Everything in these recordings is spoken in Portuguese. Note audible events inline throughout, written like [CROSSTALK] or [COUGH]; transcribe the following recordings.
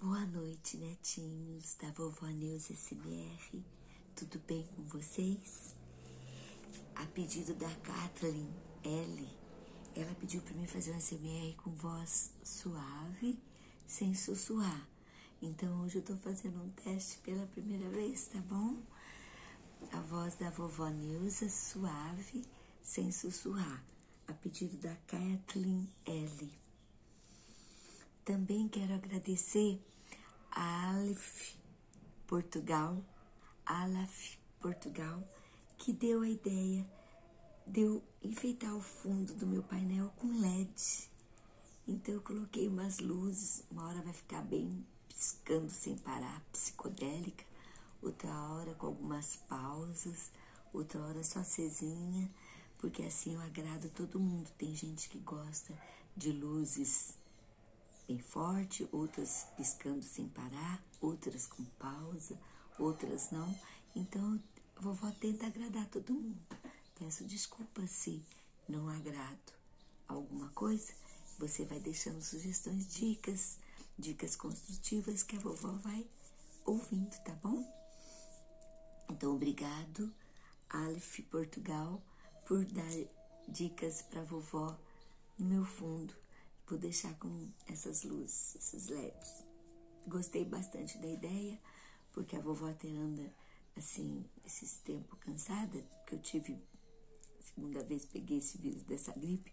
Boa noite, netinhos da vovó Neuza SBR. Tudo bem com vocês? A pedido da Kathleen L, ela pediu para mim fazer um SBR com voz suave, sem sussurrar. Então hoje eu tô fazendo um teste pela primeira vez, tá bom? A voz da vovó Neuza é suave, sem sussurrar. A pedido da Kathleen L. Também quero agradecer a Aleph Portugal, Aleph Portugal, que deu a ideia de eu enfeitar o fundo do meu painel com LED. Então eu coloquei umas luzes, uma hora vai ficar bem piscando sem parar, psicodélica, outra hora com algumas pausas, outra hora só cezinha, porque assim eu agrado todo mundo. Tem gente que gosta de luzes bem forte, outras piscando sem parar, outras com pausa, outras não. Então, a vovó tenta agradar todo mundo. Peço desculpas se não agrado alguma coisa. Você vai deixando sugestões, dicas, dicas construtivas que a vovó vai ouvindo, tá bom? Então, obrigado, Aleph Portugal, por dar dicas para vovó no meu fundo. por deixar com essas luzes, esses LEDs. Gostei bastante da ideia, porque a vovó até anda assim, esses tempos cansada, que eu tive, segunda vez peguei esse vírus dessa gripe,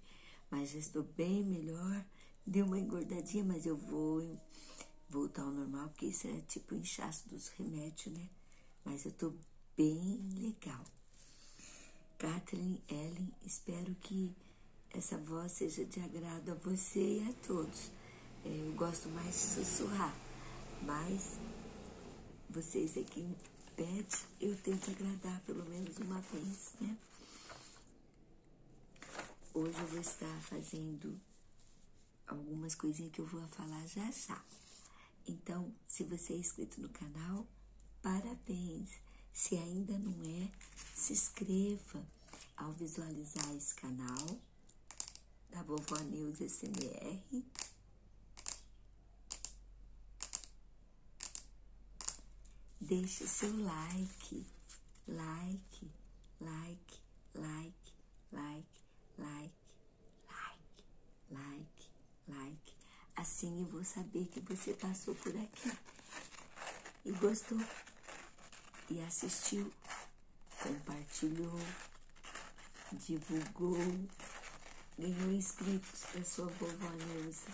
mas já estou bem melhor deu uma engordadinha, mas eu vou voltar ao normal, porque isso é tipo inchaço dos remédios, né? Mas eu tô bem legal. Kathleen, Ellen, espero que essa voz seja de agrado a você e a todos. É, eu gosto mais de sussurrar, mas vocês aqui é em pet eu tento agradar pelo menos uma vez, né? Hoje eu vou estar fazendo algumas coisinhas que eu vou falar já já. Então, se você é inscrito no canal, parabéns! Se ainda não é, se inscreva ao visualizar esse canal da Vovó News SMR. Deixe o seu like like, like, like, like, like, like, like, like. Assim eu vou saber que você passou por aqui e gostou e assistiu, compartilhou, divulgou, ganhou inscritos para sua vovó Neuza.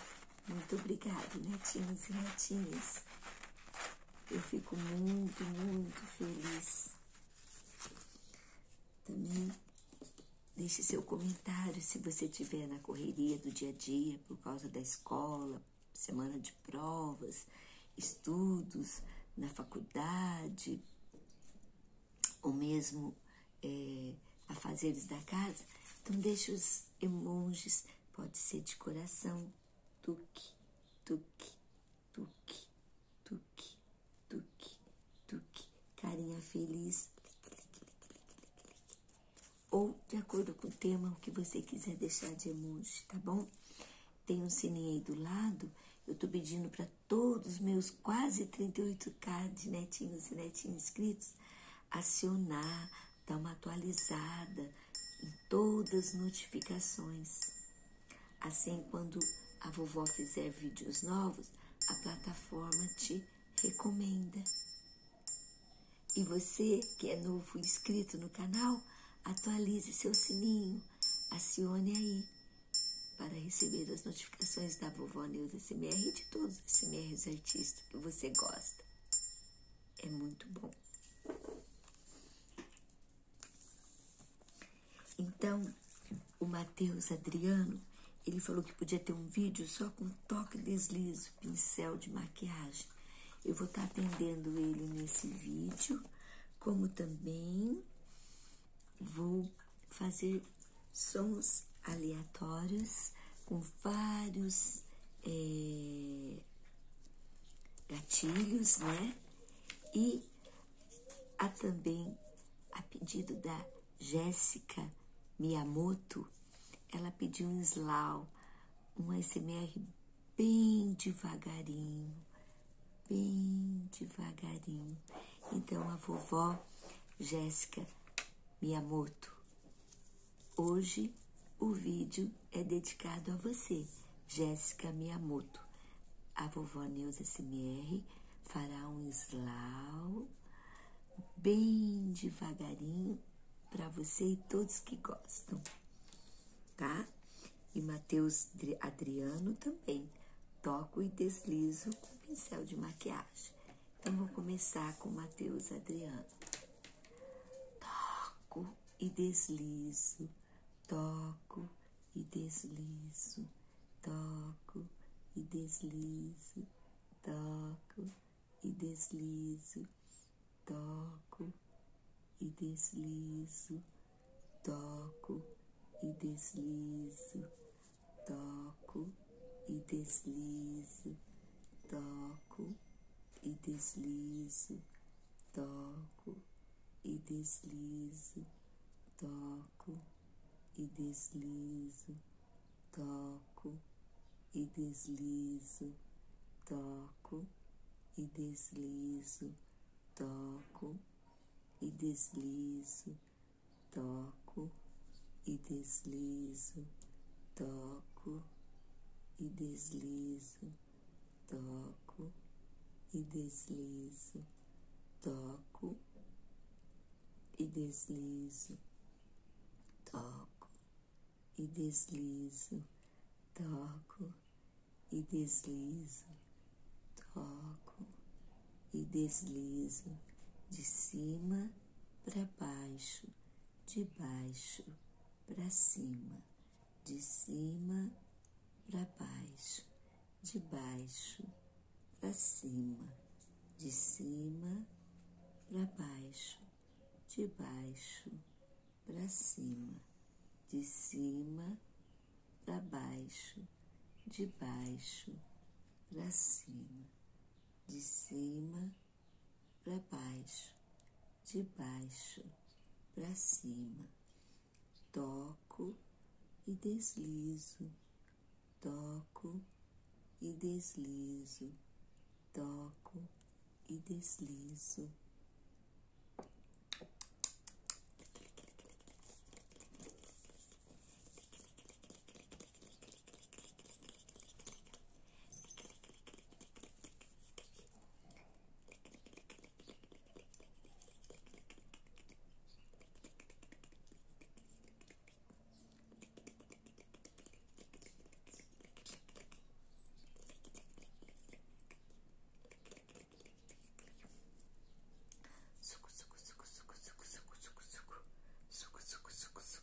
Muito obrigada, netinhos e netinhas. Eu fico muito, muito feliz. Também deixe seu comentário se você estiver na correria do dia a dia por causa da escola, semana de provas, estudos na faculdade, ou mesmo é, afazeres da casa. Então deixe os emojis, pode ser de coração, tuque, tuque, tuque, tuque, tuque, tuque. Carinha feliz. Ou de acordo com o tema, o que você quiser deixar de emoji, tá bom? Tem um sininho aí do lado. Eu tô pedindo para todos os meus quase 38k de netinhos e netinhos inscritos acionar dá uma atualizada em todas as notificações. Assim, quando a vovó fizer vídeos novos, a plataforma te recomenda. E você que é novo inscrito no canal, atualize seu sininho, acione aí para receber as notificações da Vovó News SMR e de todos os SMRs artistas que você gosta é muito bom. Então, o Matheus Adriano, ele falou que podia ter um vídeo só com toque deslizo, pincel de maquiagem. Eu vou estar tá atendendo ele nesse vídeo, como também vou fazer sons aleatórios com vários eh, gatilhos, né? E há também, a pedido da Jéssica Miyamoto, ela pediu um slau, um smr bem devagarinho, bem devagarinho. Então, a vovó Jéssica Miyamoto, Hoje o vídeo é dedicado a você, Jéssica Miyamoto. A vovó Neuza SMR fará um slau bem devagarinho para você e todos que gostam, tá? E Matheus Adriano também. Toco e deslizo com pincel de maquiagem. Então vou começar com Matheus Adriano. Toco e deslizo, toco e deslizo, toco e deslizo, toco e deslizo, toco e deslizo, toco e deslizo, toco e deslizo, toco e deslizo, toco e deslizo, toco e deslizo, toco e deslizo, toco e deslizo, toco e deslizo, toco e deslizo, toco e deslizo, toco e deslizo, toco e deslizo, toco e deslizo, toco e deslizo, toco e deslizo de cima para baixo, de baixo pra cima, de cima pra baixo, de baixo pra cima, de cima pra baixo, de baixo pra cima, de cima pra baixo, de baixo pra cima, de cima para baixo, de baixo para cima. Toco e deslizo, toco e deslizo, toco e deslizo. そくそくそくそくそくそくそくそくそくそくそく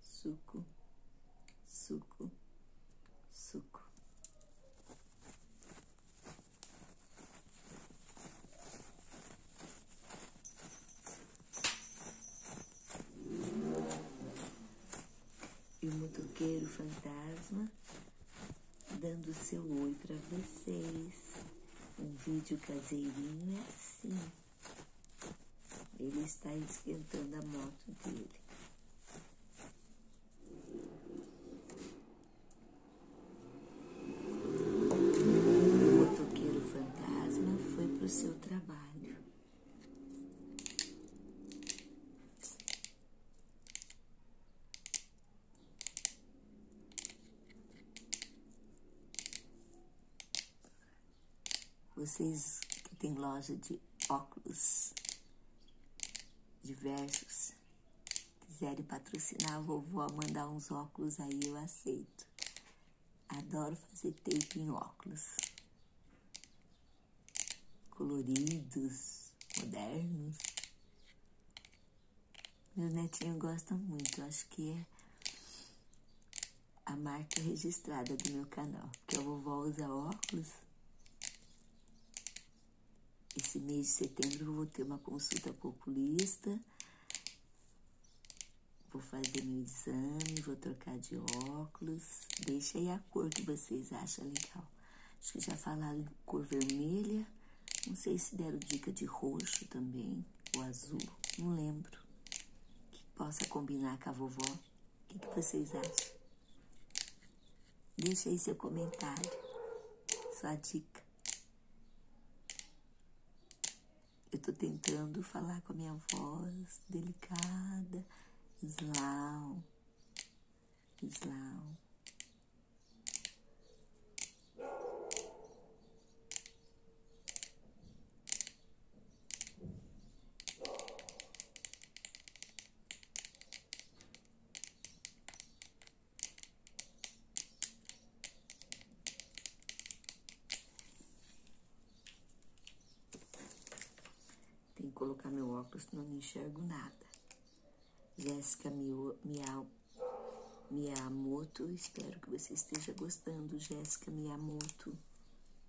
suco, suco, suco. E o motoqueiro fantasma dando seu oi para vocês. Um vídeo caseirinho é assim. Ele está esquentando a moto dele. O motoqueiro fantasma foi para o seu trabalho. Vocês que têm loja de óculos diversos, quiserem patrocinar a vovó, mandar uns óculos aí, eu aceito. Adoro fazer tape em óculos. Coloridos, modernos. Meu netinho gosta muito, acho que é a marca registrada do meu canal, que a vovó usa óculos. Esse mês de setembro eu vou ter uma consulta populista, vou fazer meu exame, vou trocar de óculos. Deixa aí a cor que vocês acham legal. Acho que já falaram cor vermelha, não sei se deram dica de roxo também, ou azul, não lembro. Que possa combinar com a vovó o que, vocês acham? Deixe aí seu comentário, sua dica. Eu estou tentando falar com a minha voz delicada. Slau. Slau. Tem que colocar meu óculos, não enxergo nada. Jéssica Miyamoto, espero que você esteja gostando, Jéssica Miyamoto.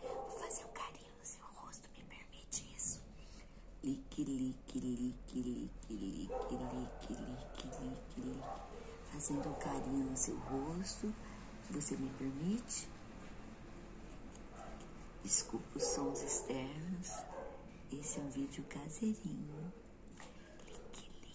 Vou fazer um carinho no seu rosto, me permite isso? Lique, lique, lique, lique, lique, lique, lique, lique, lique. lique, Fazendo um carinho no seu rosto, você me permite? Desculpa os sons externos. Esse é um vídeo caseirinho. Lique, lique.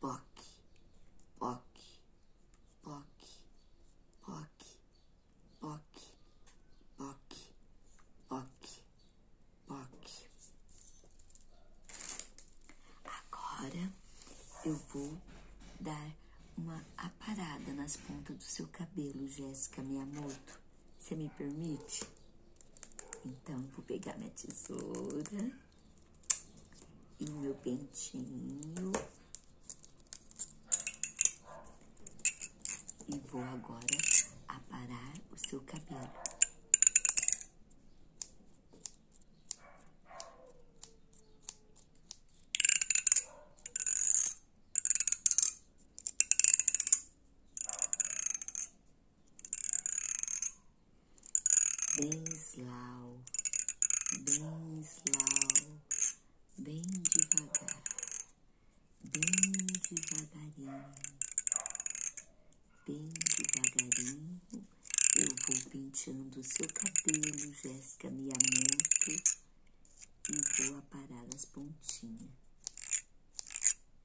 poc, poc, poc, poc, poc, poc, poc, poc. Agora eu vou dar uma aparada nas pontas do seu cabelo, Jéssica minha moto Você me permite? Então, vou pegar minha tesoura e meu pentinho. E vou agora aparar o seu cabelo bem slau, bem slau, bem devagar, bem devagarinho, bem devagarinho. Eu vou penteando o seu cabelo, Jéssica me Miyamoto, e vou aparar as pontinhas.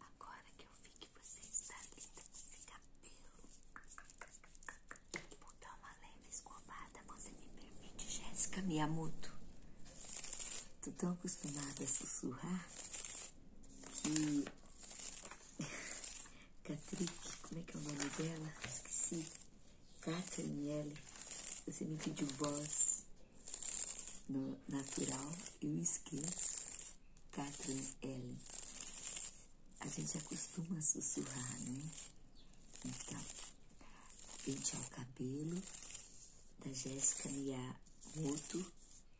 Agora que eu vi que você está linda com esse cabelo, vou dar uma leve escovada. Você me permite, Jéssica Miyamoto? Tô tão acostumada a sussurrar que [LAUGHS] Catrique, como é que é o nome dela? Esqueci. Catherine L. Você me pediu voz no natural, eu esqueço. Catherine L. A gente acostuma a sussurrar, né? Então, pentear o cabelo da Jéssica e outro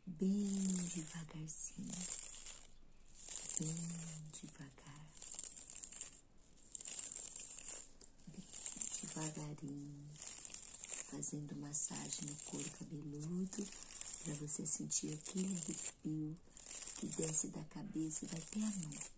bem devagarzinho. Bem devagarzinho devagarinho, fazendo massagem no couro cabeludo para você sentir aquele arrepio que desce da cabeça e vai até a nuca.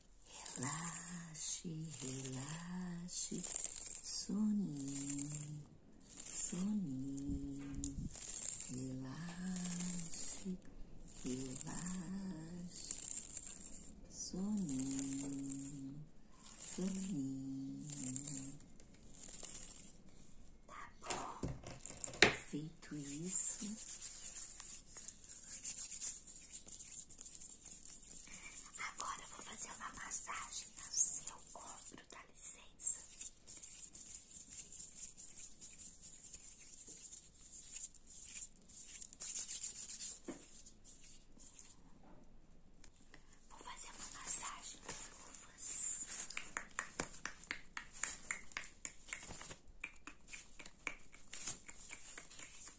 Relaxe, relaxe, soninho, soninho, relaxe, relaxe, soninho, soninho. Tá bom, feito isso. Agora vou fazer uma massagem no seu ombro, dá licença. Vou fazer uma massagem com luvas.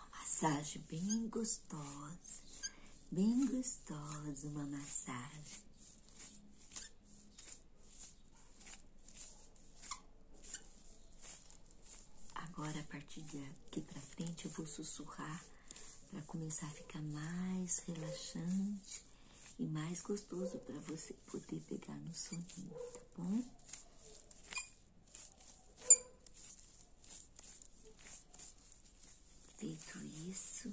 Uma massagem bem gostosa bem gostosa uma massagem. Agora, a partir daqui para frente, eu vou sussurrar para começar a ficar mais relaxante e mais gostoso para você poder pegar no soninho, tá bom? Feito isso,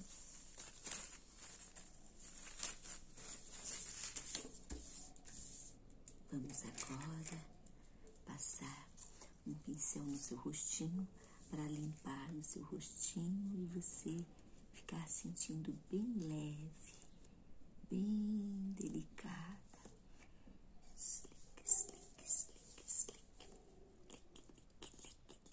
vamos agora passar um pincel no seu rostinho para limpar no seu rostinho e você ficar sentindo bem leve, bem delicada. Slick, slick, slick, slick, lick, lick, lick,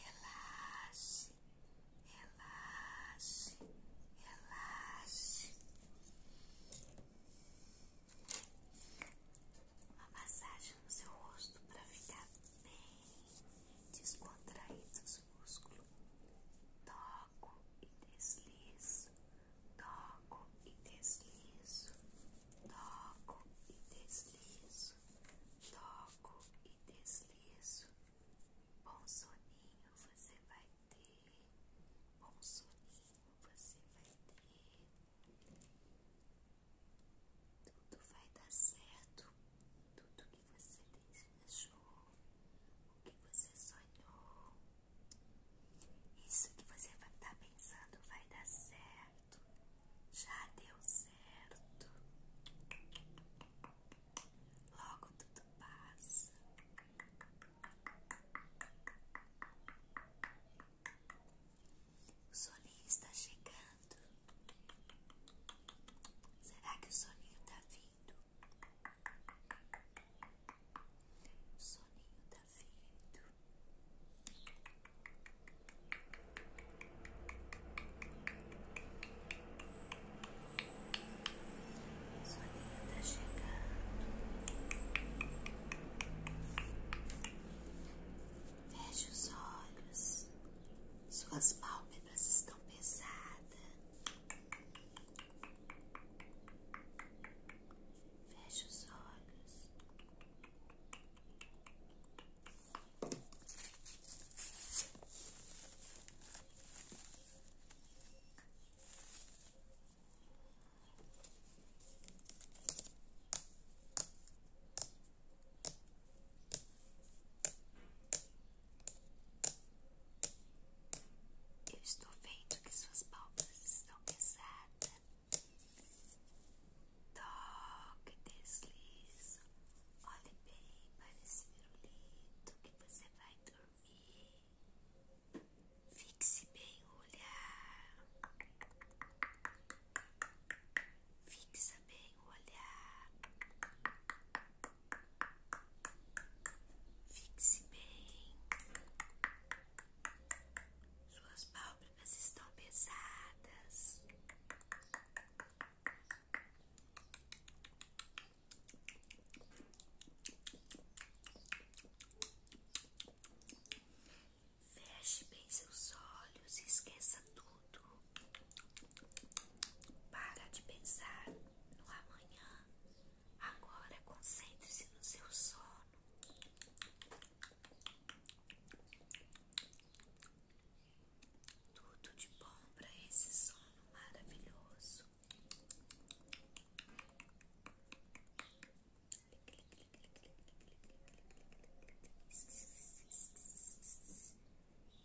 Relaxe, relaxe, relaxe. Uma massagem no seu rosto para ficar bem descontraído os músculos. Toco e deslizo toco e deslizo, toco e deslizo, toco e deslizo. Bom soninho você vai ter, bom soninho você vai ter. Tudo vai dar certo, tudo que você desejou, o que você sonhou. Isso que você vai estar tá pensando vai dar certo. Já deu certo. Logo tudo passa. O solinho está chegando. Será que o solinho está vindo? O soninho tá feito. O soninho tá chegando. Feche os olhos. Suas pálpebras estão pesadas. Fecha os olhos. Eu estou vendo que suas pálpebras estão pesadas. Toque, deslizo. Olhe bem para esse pirulito que você vai dormir. Fixe bem o olhar. Fixa bem o olhar. Fixe bem. Suas pálpebras estão pesadas. Feche bem seus olhos esqueça tudo. Para de pensar no amanhã Agora concentre-se no seu sono. Tudo de bom para esse sono maravilhoso.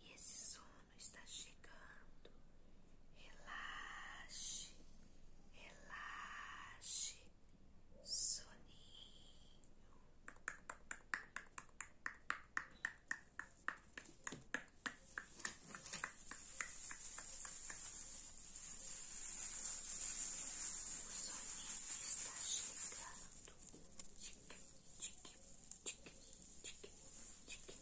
E esse sono está chegando relaxe, relaxe, soninho. O soninho está chegando. Tique, tique, tique, tique,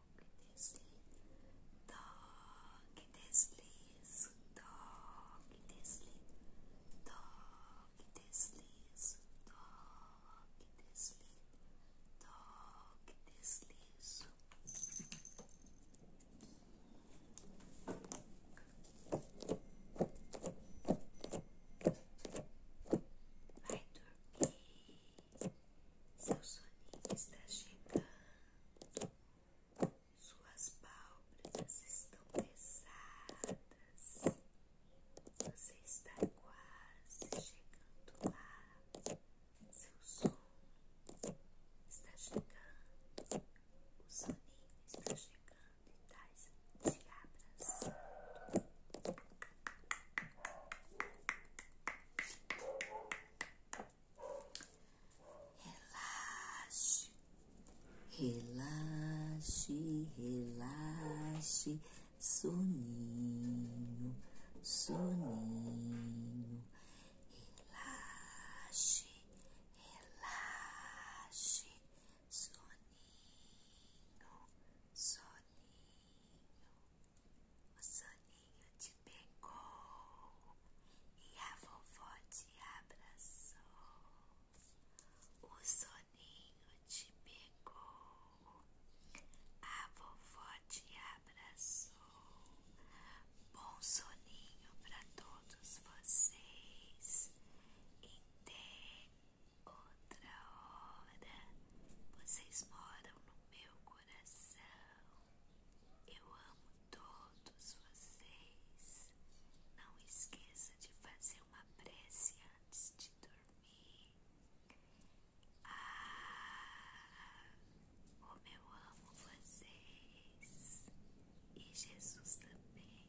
Gidesli Da Gidesli Da Gidesli Da Gidesli Da Gidesli Da Gidesli My turkey Seu soninho está chegando. Suas pálpebras estão pesadas. Você está quase chegando lá. Seu sono está chegando. O soninho está chegando e traz tá te abraçando. Relaxe, relaxe, relaxe, soninho, soninho. Relaxe, relaxe, soninho, soninho. O soninho te pegou e a vovó te abraçou. O soninho te pegou, a vovó te abraçou. Bom soninho para todos vocês. E até outra hora, vocês moram no meu coração. Eu amo todos vocês. Não esqueça de fazer uma prece antes de dormir. Ah, como eu amo vocês e Jesus também.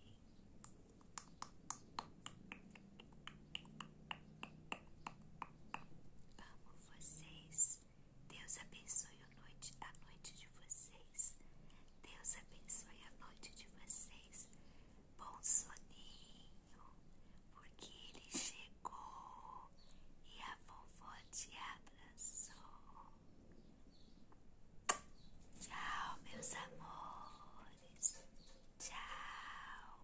Amo vocês Deus abençoe a noite, a noite de vocês. Deus abençoe a noite de vocês. Bom soninho, porque ele chegou e a vovó te abraçou. Tchau, meus amores. Tchau.